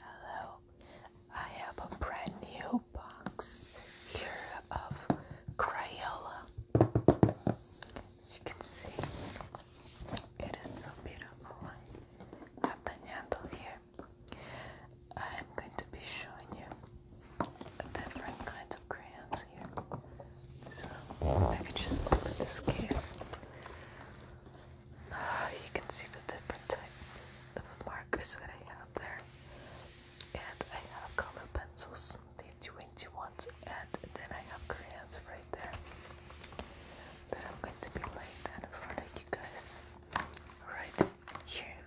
Hello, I have a brand new box here of Crayola. As you can see, it is so beautiful. I have the handle here. I'm going to be showing you different kinds of crayons here. So I could just open this case. you can see the different types of markers that I have there. And I have color pencils, the 220 ones, and then I have crayons right there that I'm going to be laying down in front of you guys right here.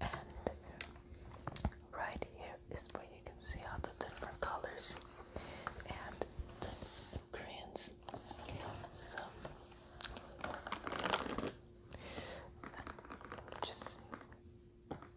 And right here is where you can see all the different colors and the crayons this. So just see. Okay.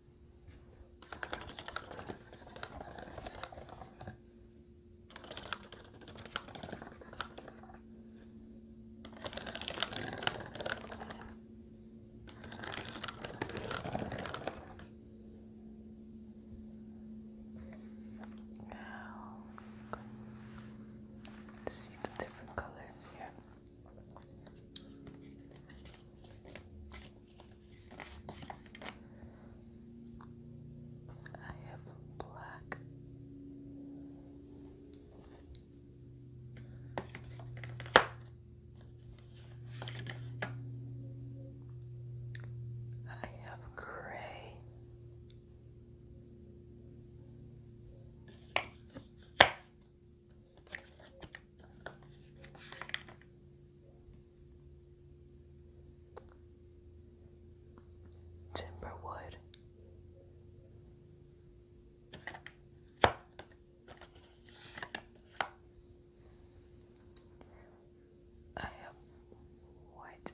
Now, see the different colors here. I have black. I have gray. Timberwood. I have what?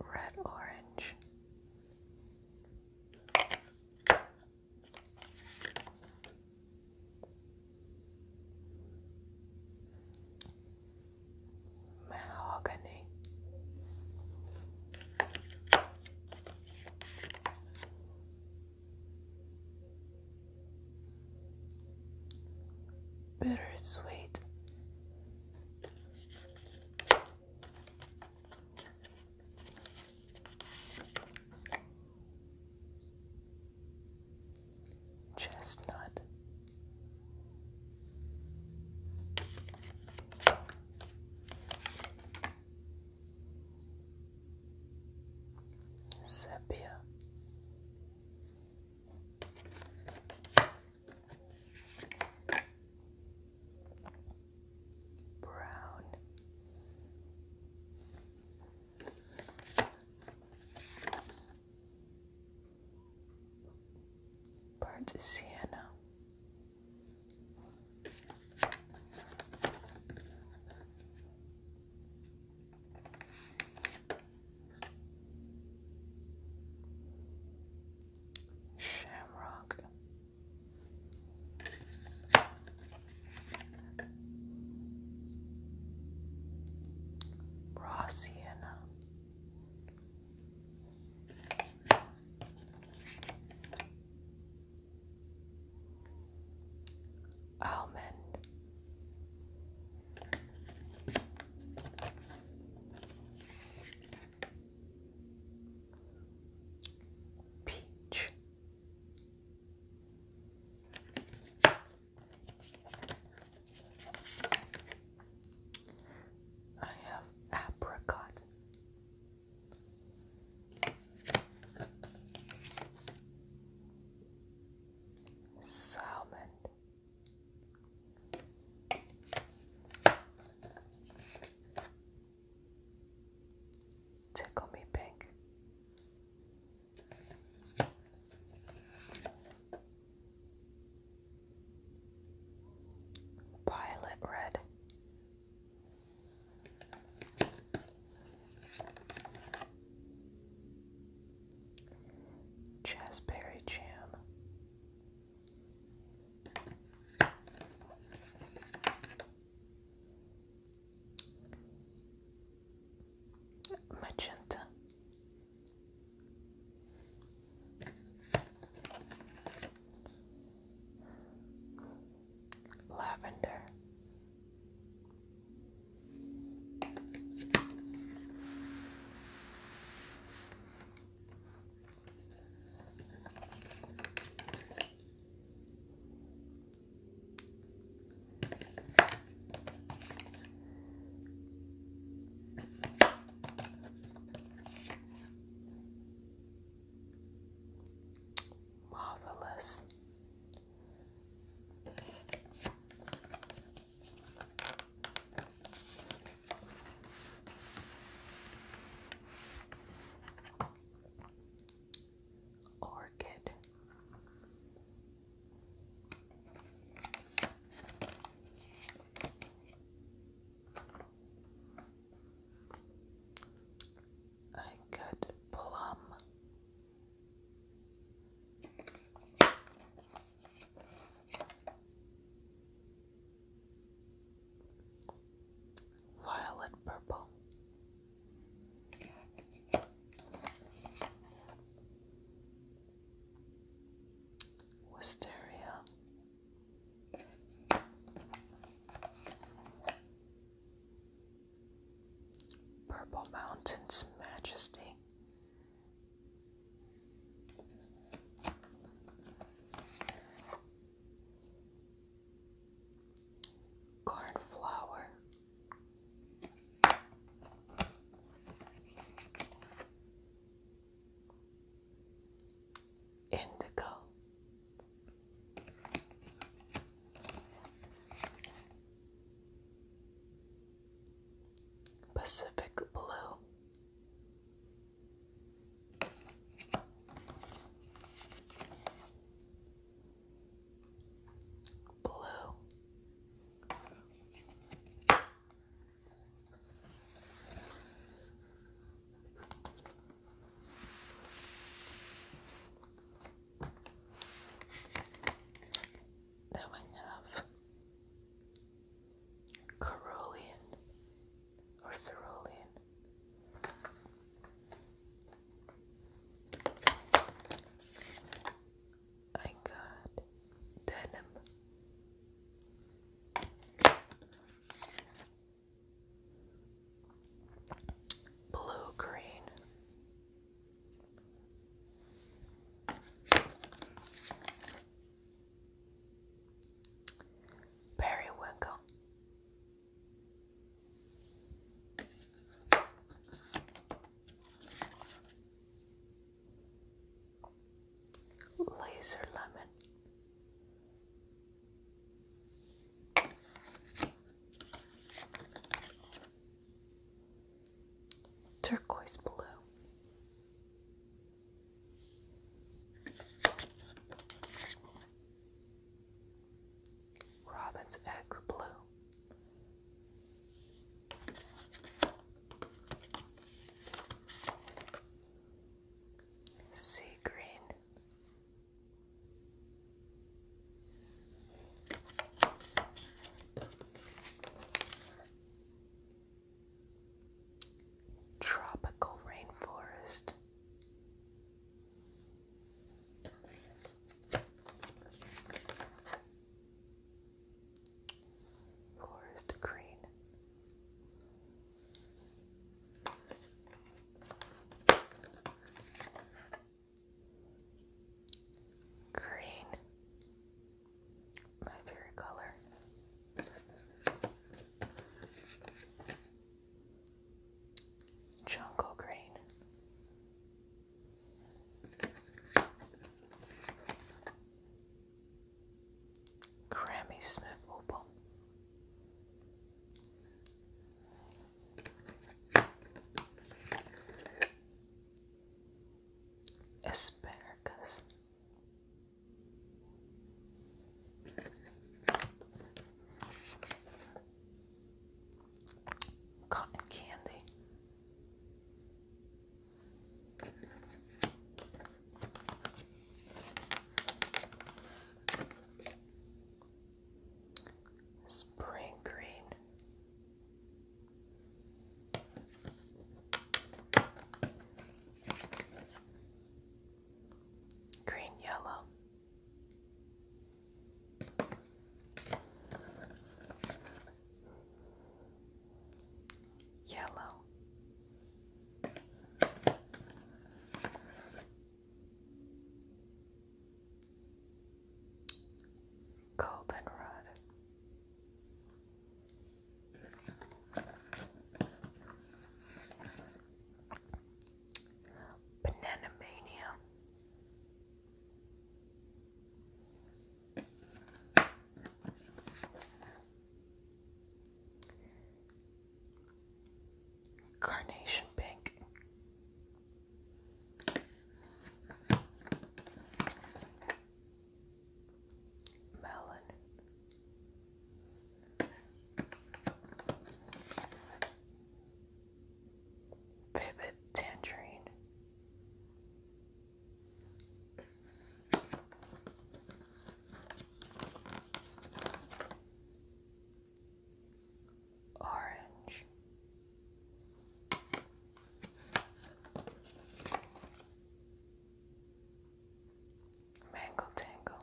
red orange. Mahogany bittersweet. Chestnut Sepia brown. Burnt sienna. Shamrock. Rossiana almond. Peach I have apricot salmon. Tickle me pink. Violet red. Jazzberry jam. Magenta. Lavender Marvelous. Orchid. I got plum Violet purple. Wisteria. Purple Mountain's majesty. Cornflower. Indigo. Pacific Blue. Blue. Now I have Carolean or Cerulean. I got denim blue green. Periwinkle. Laser lemon turquoise blue. Robin's egg blue. Sea green, Tropical rainforest. Forest green. Green, my favorite color. Jungle green. Grammy Smith opal. Asparagus. Cotton candy. Spring green. Green yellow. Yellow. Goldenrod. Banana Mania carnation pink. Melon. Vivid tangerine orange. Mango Tango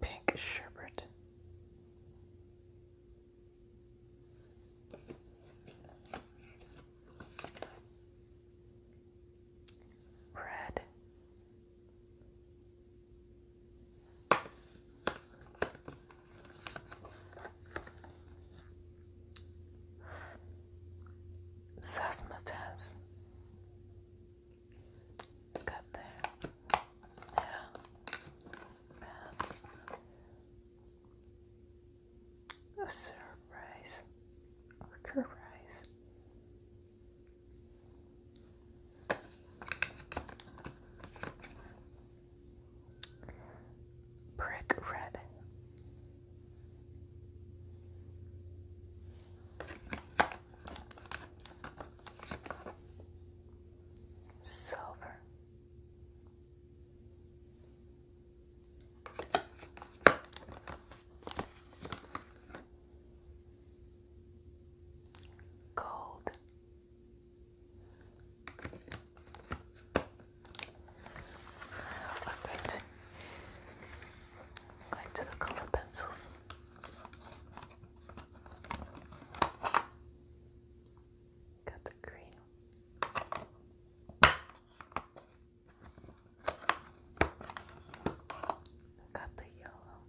Pink Sherbet Red. Sasmataz. Got there. Yeah a surprise or currise. Brick red. Silver Cold. I'm going to going to the color pencils. Got the green I got the yellow.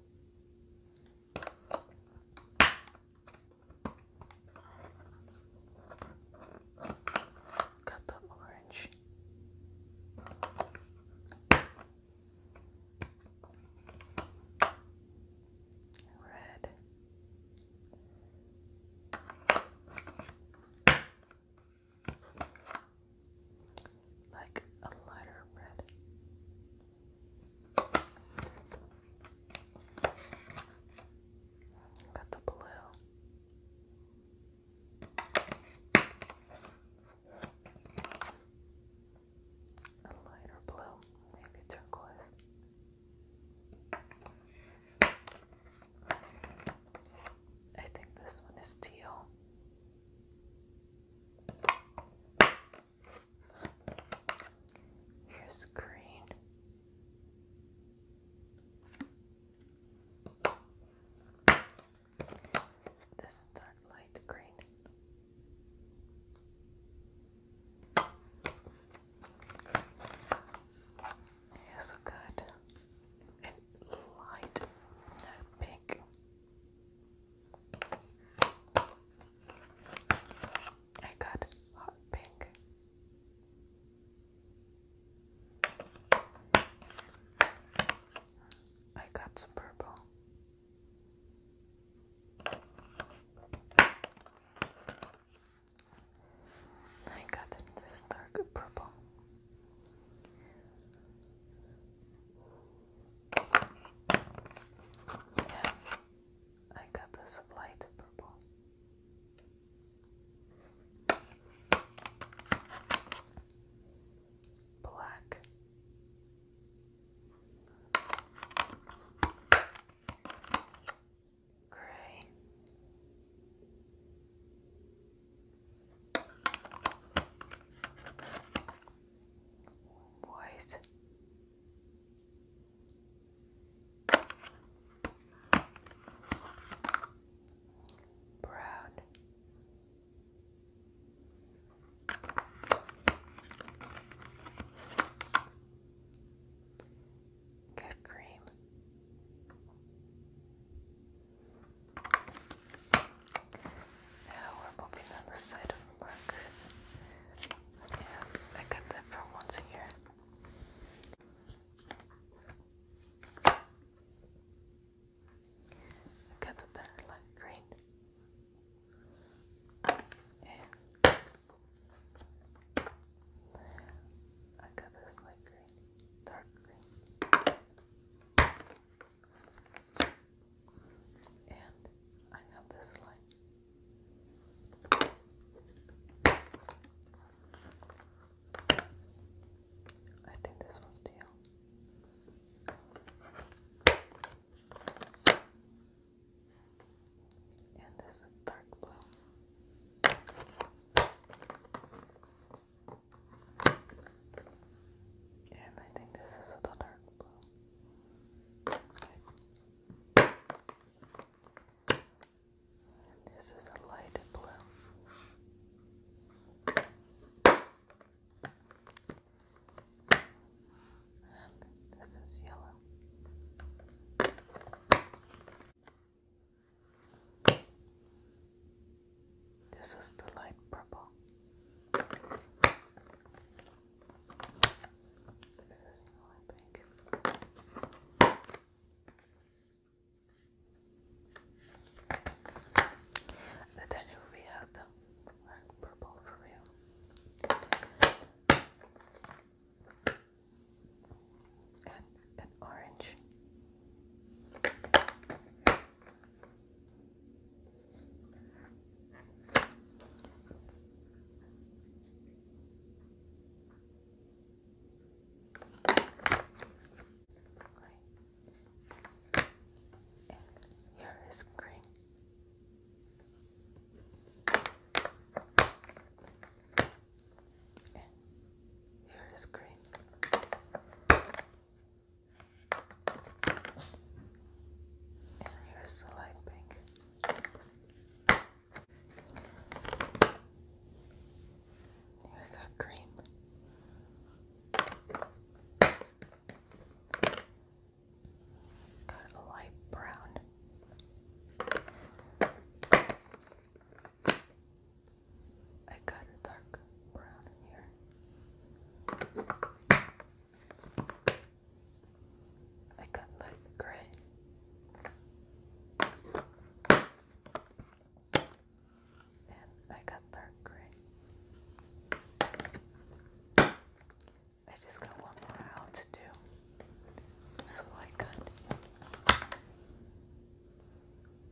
Got the orange. Red. Like a lighter red. Got the blue. A lighter blue, maybe turquoise. I think this one is teal. Here's green. This dark light green. Here's a light uh, pink. I got hot pink. I got some purple. I got this dark purple. I got this light purple. Black gray. White. Brown. Good cream. Now we're moving on the side of markers. I got that from once here. I got that light green. And I got this light green, dark green, and I have this light. I think this one's teal and this is dark blue. And I think this is a dark blue. And this is a light blue this is yellow. This is the light purple. This is light pink. then we have the purple for real and an orange. here is green here is green. And here's the light pink. Here I cream. Got a light brown. I got a dark brown here. I got light gray. And I got dark gray. I just got one more out to do. So I could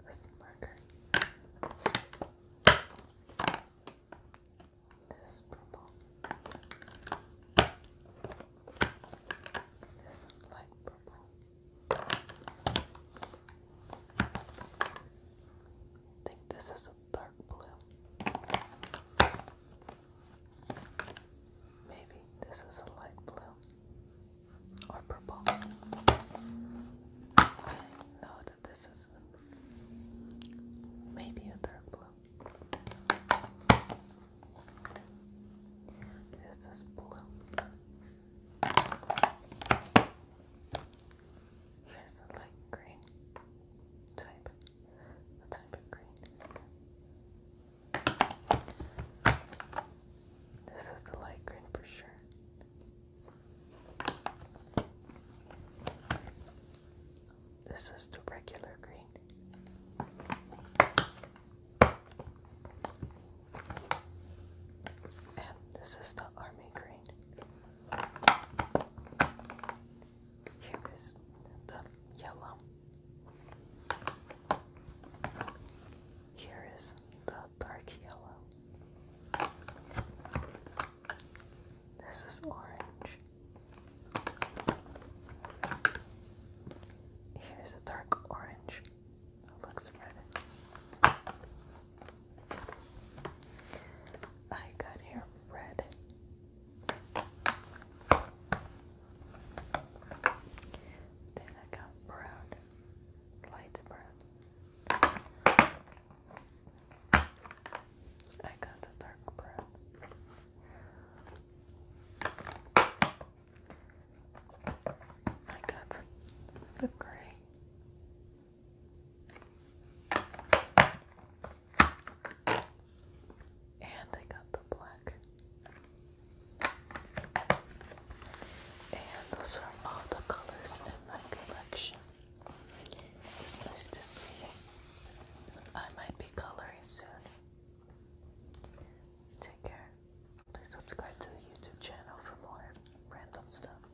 this marker, this purple, this light purple. I think this is a blue. Maybe this is a light blue or purple. I that this is maybe a dark blue. This is blue. Here's a light green type. The type of green. This is the light green for sure. This is the regular green. And this is the army green. Here is the yellow. Here is the dark yellow. This is orange. Here's a dark orange. It looks red. I got here red then I got brown, light brown. I got the dark brown. I got the gray. And I got the black. And those are all the colors in my collection. It's nice to see. I might be coloring soon. Take care. Please subscribe to the YouTube channel for more random stuff.